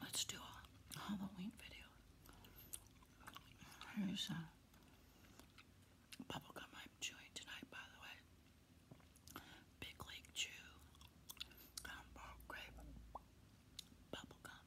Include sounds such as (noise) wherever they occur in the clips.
Let's do a Halloween video. Here's a bubblegum I'm chewing tonight, by the way. Big League Chew, Gumbo Grape, Bubblegum.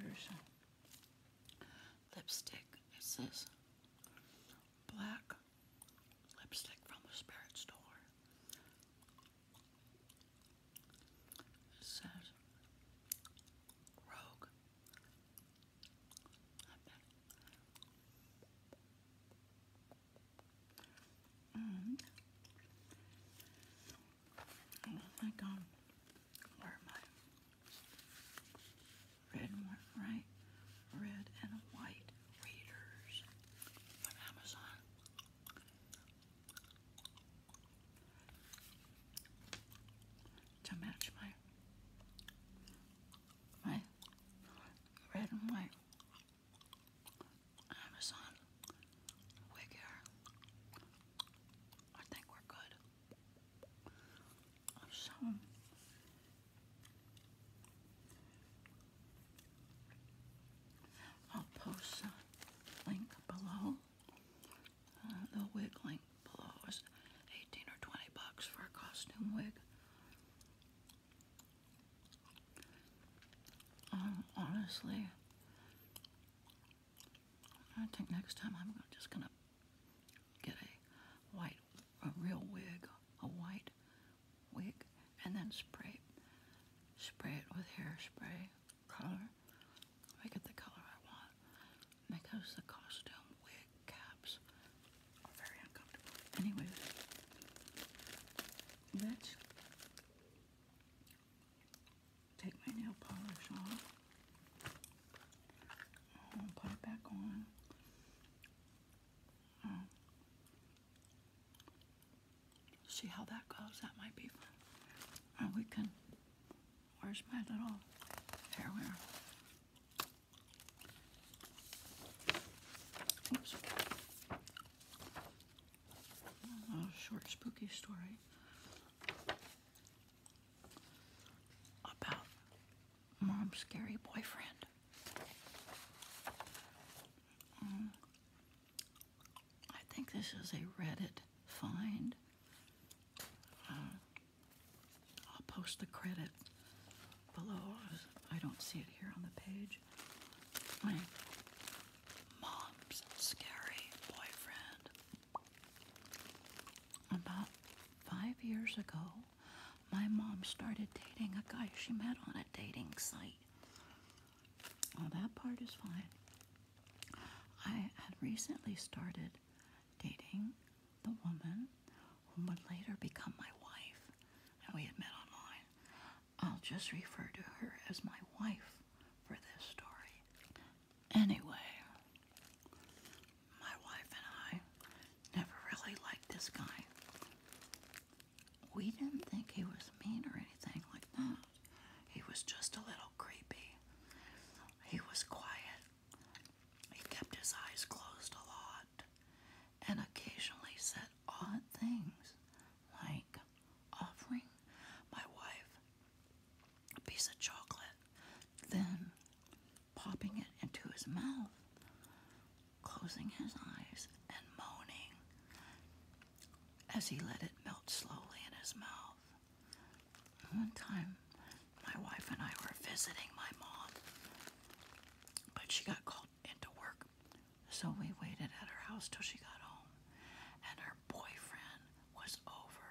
Here's lipstick. It says black lipstick from the spirit store. It says Rogue and oh my god, where am I? Red and white, Red and white readers from Amazon. To match my right? Red and white. Amazon. Wigger. I think we're good. so I'll post a link below uh, the wig link below is 18 or 20 bucks for a costume wig. Um, honestly, I think next time I'm just gonna get a white, a real wig, a white wig, and then spray, spray it with hairspray color. I get the color I want because the costume wig caps are very uncomfortable. Anyway, let's take my nail polish off. put it back on. Uh, see how that goes. That might be fun. And uh, we can. Where's my little hair a short, spooky story about mom's scary boyfriend. Mm. I think this is a Reddit find. Uh, I'll post the credit below. I don't see it here on the page. mom's scary boyfriend. About five years ago, my mom started dating a guy she met on a dating site. Well, that part is fine. I had recently started dating the woman who would later become my wife, and we had met online. I'll just refer to her as my wife for this story. Anyway, my wife and I never really liked this guy. We didn't think he was mean or anything like that. He was just a little creepy. He was quiet. He kept his eyes closed a lot and occasionally said odd things like offering my wife a piece of chocolate, then popping it into his mouth, closing his eyes, and moaning as he let it melt slowly in his mouth. One time, my wife and I were visiting my mom, but she got called into work, so we waited at her house till she got home. And her boyfriend was over,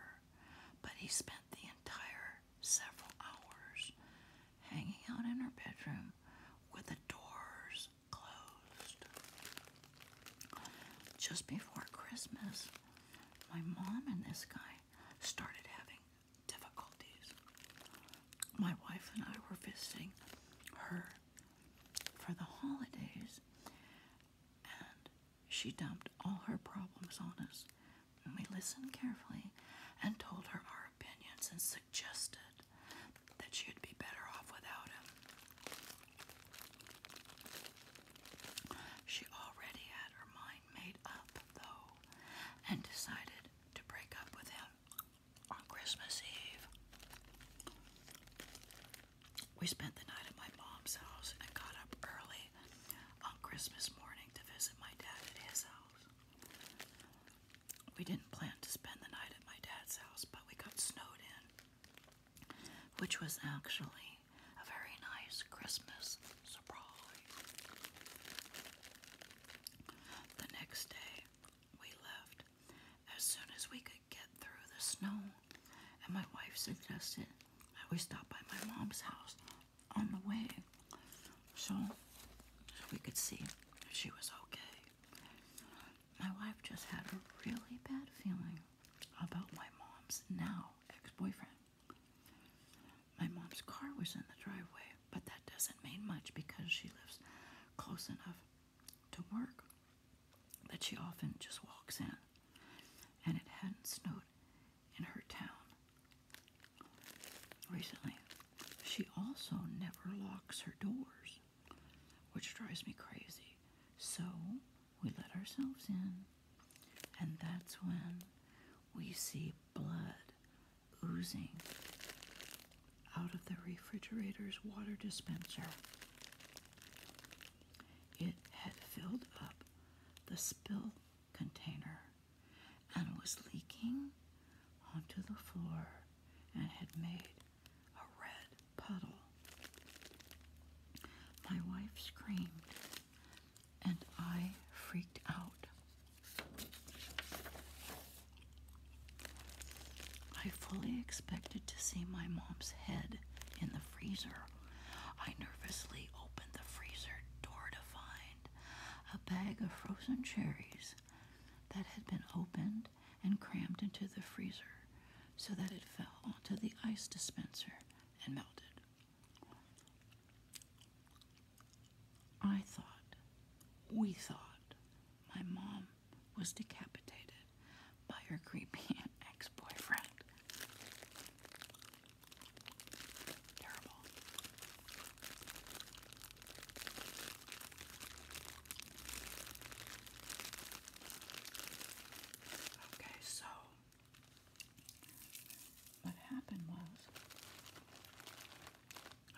but he spent the entire several hours hanging out in her bedroom with the doors closed. Just before Christmas, my mom and this guy started having difficulties. My wife and I were visiting her for the holidays, and she dumped all her problems on us. And we listened carefully and told her our opinions and suggested that she'd be better off without him. She already had her mind made up, though, and decided to break up with him on Christmas Eve. We spent the night at my mom's house and got up early on Christmas morning to visit my dad at his house. We didn't plan to spend the night at my dad's house, but we got snowed in, which was actually a very nice Christmas surprise. The next day, we left as soon as we could get through the snow, and my wife suggested that we stop by my mom's house on the way so, so we could see if she was okay. My wife just had a really bad feeling about my mom's now ex boyfriend. My mom's car was in the driveway, but that doesn't mean much because she lives close enough to work that she often just walks in. And it hadn't snowed in her town recently. She also never locks her doors, which drives me crazy. So we let ourselves in. And that's when we see blood oozing out of the refrigerator's water dispenser. It had filled up the spill container and was leaking onto the floor and had made a red puddle. My wife screamed and I freaked out. I fully expected to see my mom's head in the freezer. I nervously opened the freezer door to find a bag of frozen cherries that had been opened and crammed into the freezer so that it fell onto the ice dispenser and melted. I thought, we thought, my mom was decapitated by her creepy (laughs) ex boyfriend. Okay, so what happened was,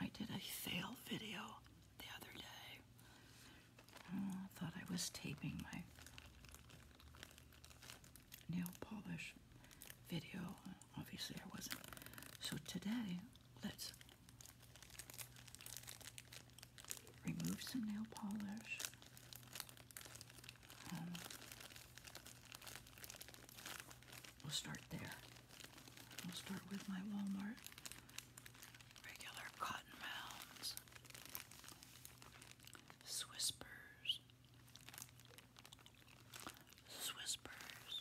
I did a fail video the other day. Uh, I thought I was taping my nail polish video. Obviously, I wasn't. So, today, let's remove some nail polish um, we'll start there. We'll start with my Walmart regular cotton mounds, Swispers, Swispers,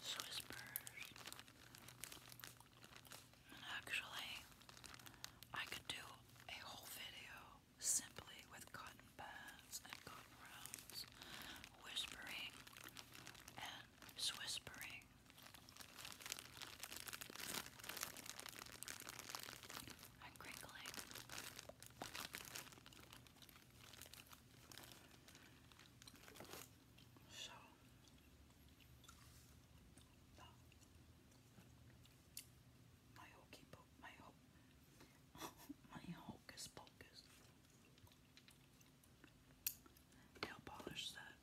Swispers. actually, I could do a whole video simply with cotton pads and cotton rounds, whispering and swispering. And crinkling. So, (laughs) My hocus pocus. Nail polish set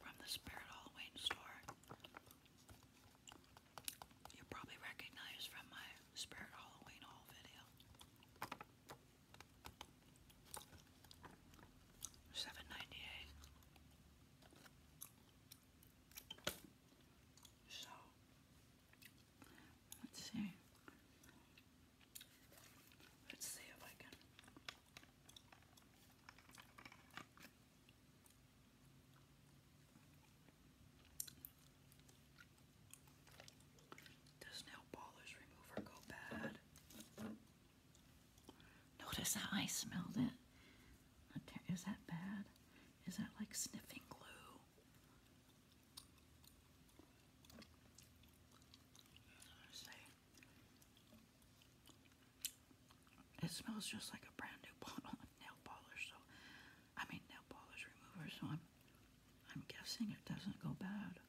from the Spirit Halloween store. You probably recognize from my Spirit Halloween haul video. 7 So let's see. Let's see if I can does nail polish remover go bad? Notice how I smelled it. Is that bad? Is that like sniffing glue? It smells just like a brand new (laughs) bottle of nail polish, so I mean nail polish remover, so I'm I'm guessing it doesn't go bad.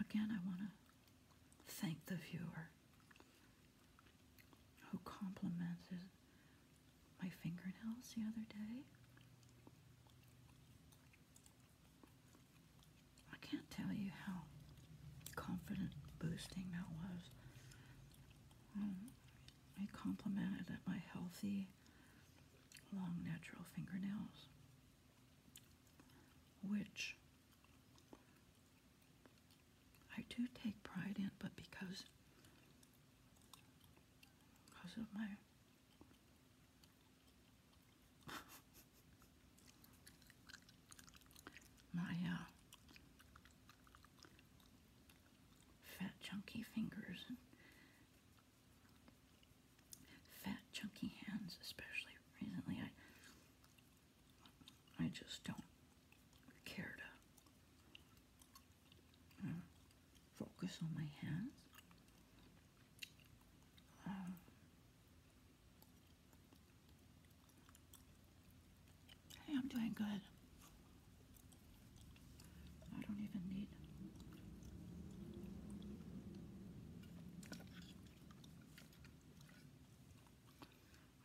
Again, I want to thank the viewer who complimented my fingernails the other day. I can't tell you how confident boosting that was. Um, I complimented at my healthy, long, natural fingernails, which I do take pride in, but because because of my (laughs) my uh, fat chunky fingers and fat chunky hands, especially recently. I I just don't care to uh, focus on my hands. Um, Hey, I'm doing good. I don't even need.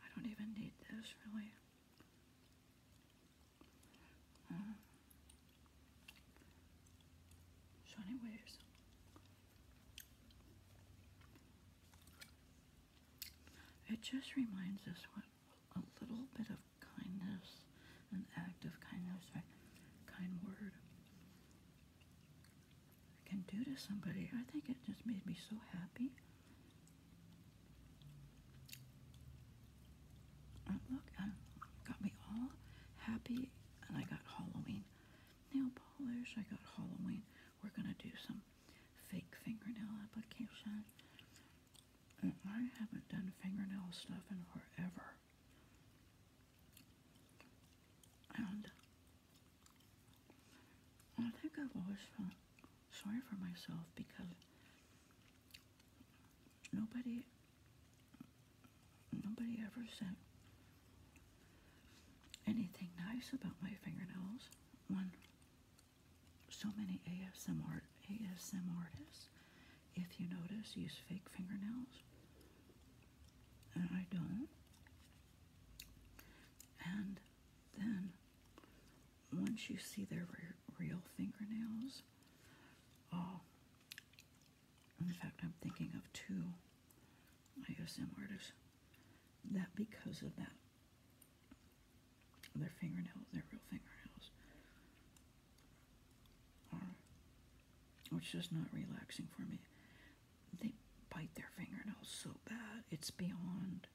I don't even need this really. Uh, so, it just reminds us what a little bit of kindness, an act of kindness, right? Kind word I can do to somebody. I think it just made me so happy. And uh, look, it uh, got me all happy, and I got Halloween nail polish. I got Halloween. We're gonna do some fake fingernail application. I haven't done fingernail stuff in forever. And I think I've always felt sorry for myself because nobody nobody ever said anything nice about my fingernails when so many ASM art, ASM artists, if you notice, use fake fingernails, and I don't. And then, once you see their real fingernails, oh, in fact, I'm thinking of two ASM artists that because of that their fingernails, their real fingernails, are, which is not relaxing for me. They bite their fingernails so bad, it's beyond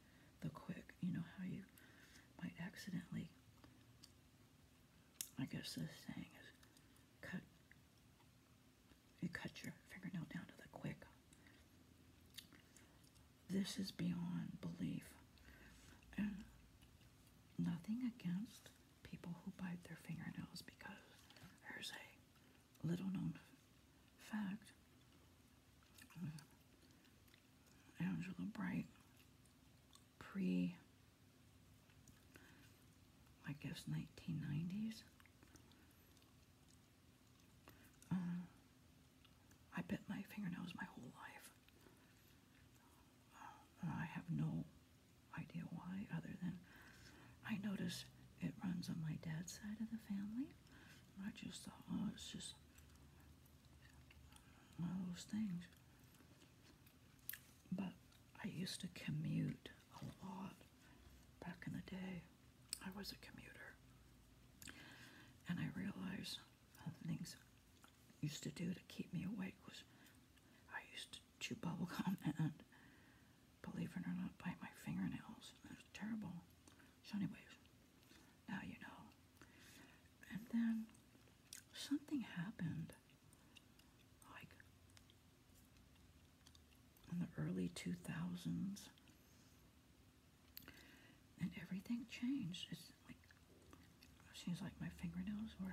the quick. You know how you might accidentally, I guess this saying is cut, you cut your fingernail down to the quick. This is beyond belief. And nothing against people who bite their fingernails because there's a little known fact. Angela Bright, pre, I guess, 1990s. I bit my fingernails my whole life. Uh, I have no idea why, other than I notice it runs on my dad's side of the family. And I just thought, oh, it's just one of those things. But I used to commute a lot back in the day. I was a commuter. And I realized things used to do to keep me awake was I used to chew bubble gum (laughs) and, believe it or not, bite my fingernails. That was terrible. So anyways, now you know. And then something happened, like in the early 2000s, and everything changed. It seems like my fingernails were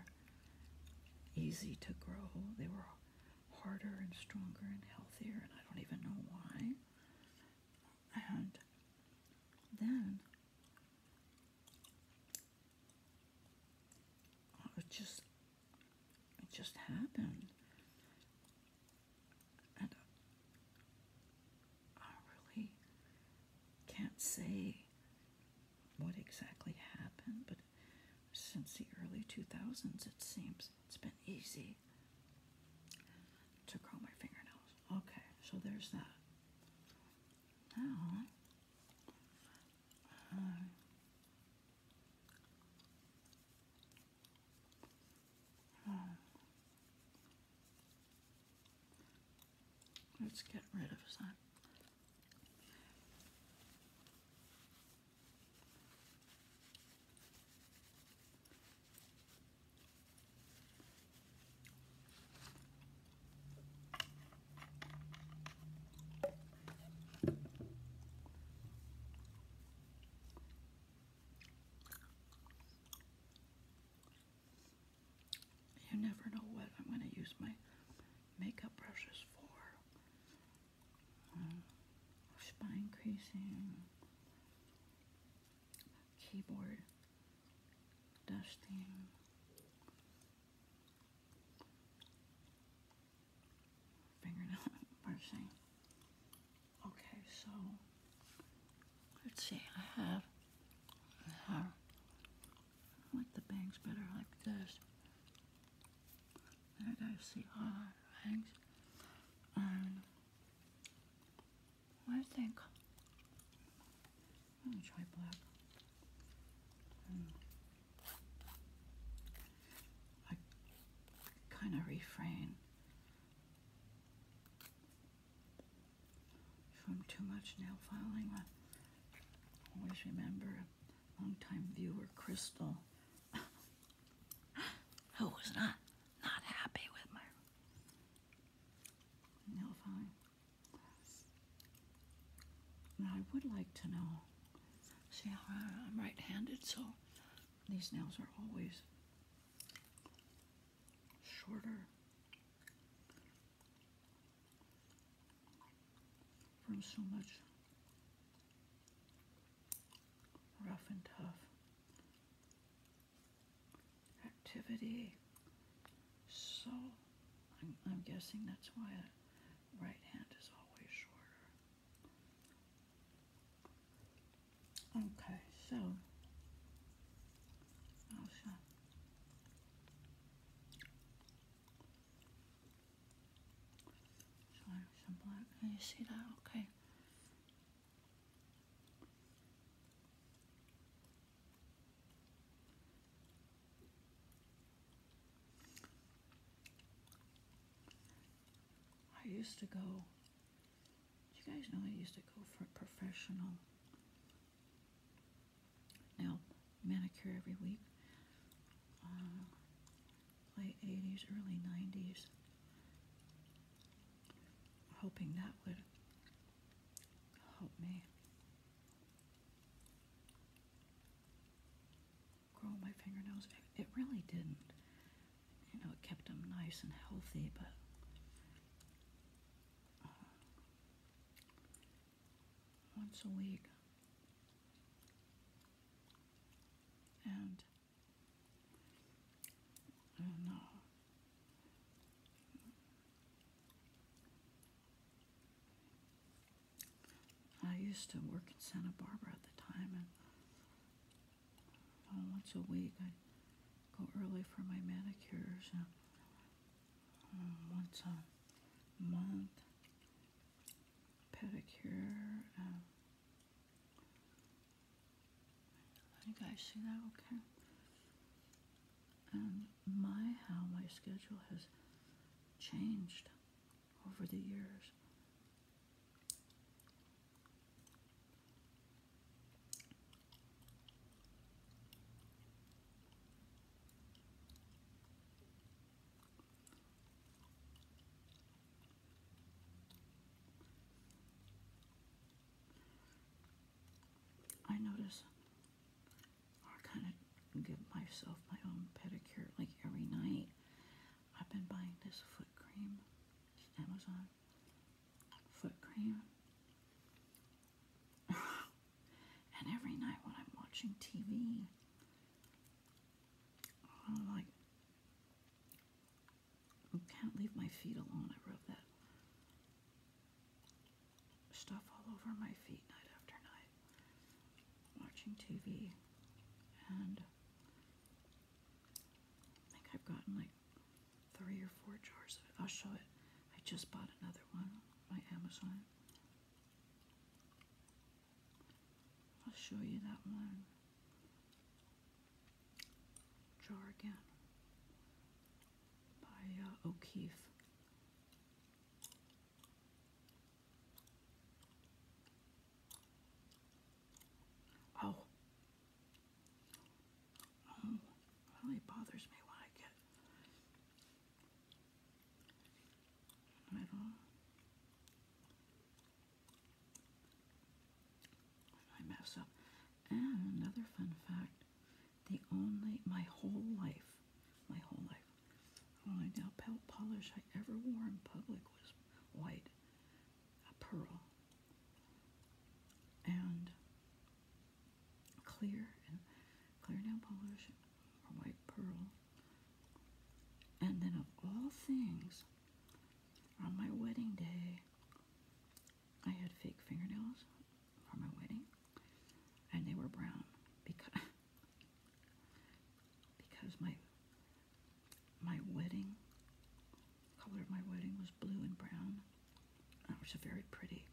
easy to grow. They were harder and stronger and healthier, and I don't even know why. And then it just it just happened, I really can't say what exactly happened, but since the early 2000s, it seems it's been easy to grow my fingernails. Okay, so there's that. Now, um, Let's get rid of that. You never know what I'm going to use my makeup brushes for. Uh, spine creasing, keyboard dusting. Fingernail (laughs) brushing. Okay, so let's see, I have, I like the bangs better like this. I gotta see all the bangs. Um, I think I'm gonna try black. Um, I kind of refrain from too much nail filing. I always remember longtime viewer Crystal, (laughs) who was not not happy with my nail filing. I would like to know. See I'm right-handed, so these nails are always shorter from so much rough and tough activity. So I'm, guessing that's why right hand is always shorter. Okay, so also some black. you see that? Okay. I used to go you guys know I used to go for a professional nail manicure every week. Uh, late 80s, early 90s. Hoping that would help me grow my fingernails. It, it really didn't. You know, it kept them nice and healthy, but once a week. And, and uh, I used to work in Santa Barbara at the time, and uh, once a week go early for my manicures uh, um, once a month. Pedicure. Um, you guys see that okay? And my how my schedule has changed over the years. I notice I kind of give myself my own pedicure like every night. I've been buying this foot cream. It's Amazon foot cream. (laughs) and every night when I'm watching TV, I'm like, I can't leave my feet alone. I rub that stuff all over my feet night after night, watching TV. And I think I've gotten like three or four jars of it. I'll show it. I just bought another one on my Amazon. I'll show you that one jar again by uh, O'Keefe. Oh, Oh, it really bothers me when I get. I I mess up. And another fun fact: the only my whole life, my whole life, only nail polish I ever wore in public was white, a pearl, and clear and clear nail polish or white pearl. And then, of all things, on my wedding day, I had fake fingernails for my wedding, and they were brown because (laughs) because my my wedding color of my wedding was blue and brown. It was a very pretty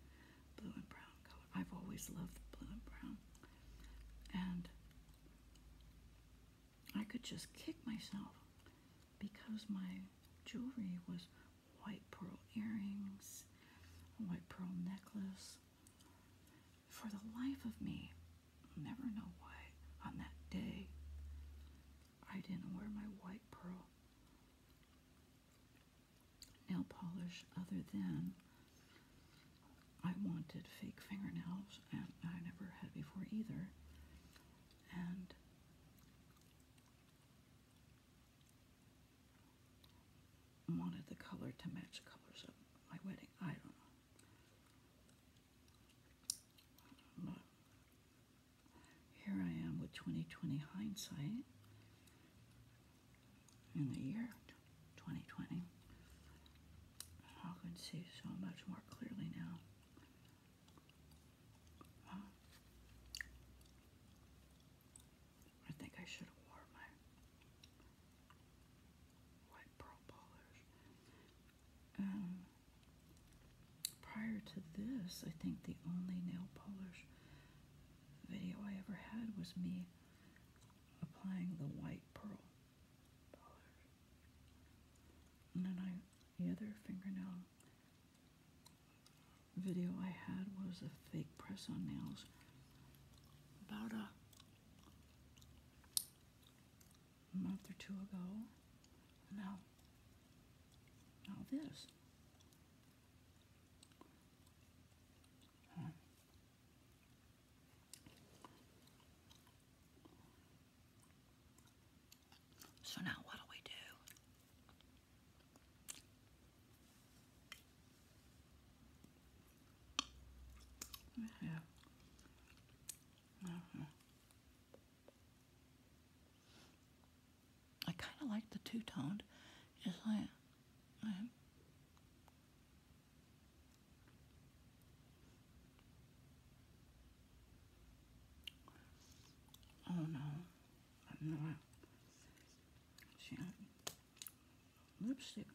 blue and brown color. I've always loved blue and brown. And I could just kick myself because my jewelry was white pearl earrings, white pearl necklace. For the life of me, never know why on that day I didn't wear my white pearl nail polish other than I wanted fake fingernails, and I never had before either. And wanted the color to match the colors of my wedding. I don't know. Here I am with 2020 hindsight in the year 2020. I can see so much more clearly now. I think I should have worn my white pearl polish. Um, prior to this, I think the only nail polish video I ever had was me applying the white pearl And then I, the other fingernail video I had was a fake press on nails about a month or two ago. Now, all this. So now what do we do? We mm-hmm. I kind of like the two-toned. It's like, oh no, I'm not. See,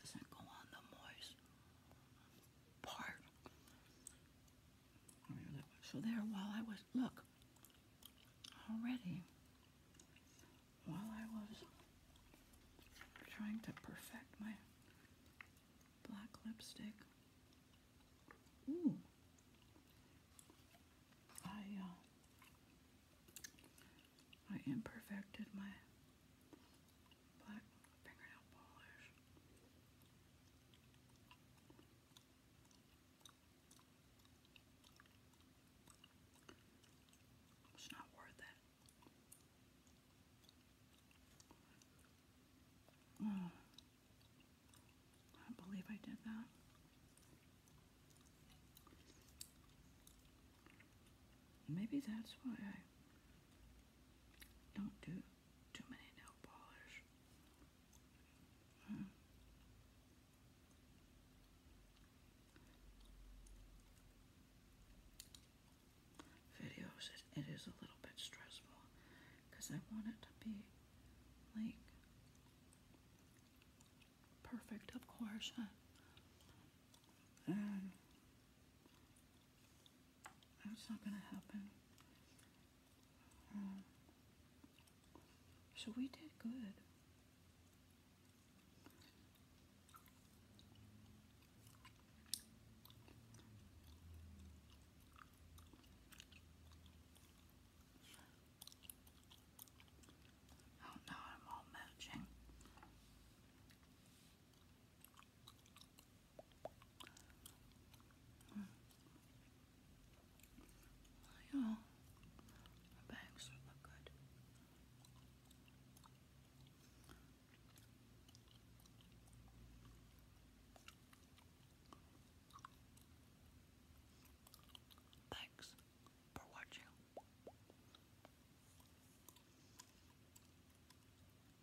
doesn't go on the moist part. So there, while I was, look, already, while I was trying to perfect my black lipstick, ooh, I, uh, I imperfected my black fingernail polish. It's not worth it. Oh, I believe I did that. Maybe that's why I don't do too many nail polish. Videos, it is a little bit stressful because I want it to be like perfect, of course. That's not going to happen. Um, so we did good. Oh no, I'm all matching. Mm. Well, yeah, Thanks for watching.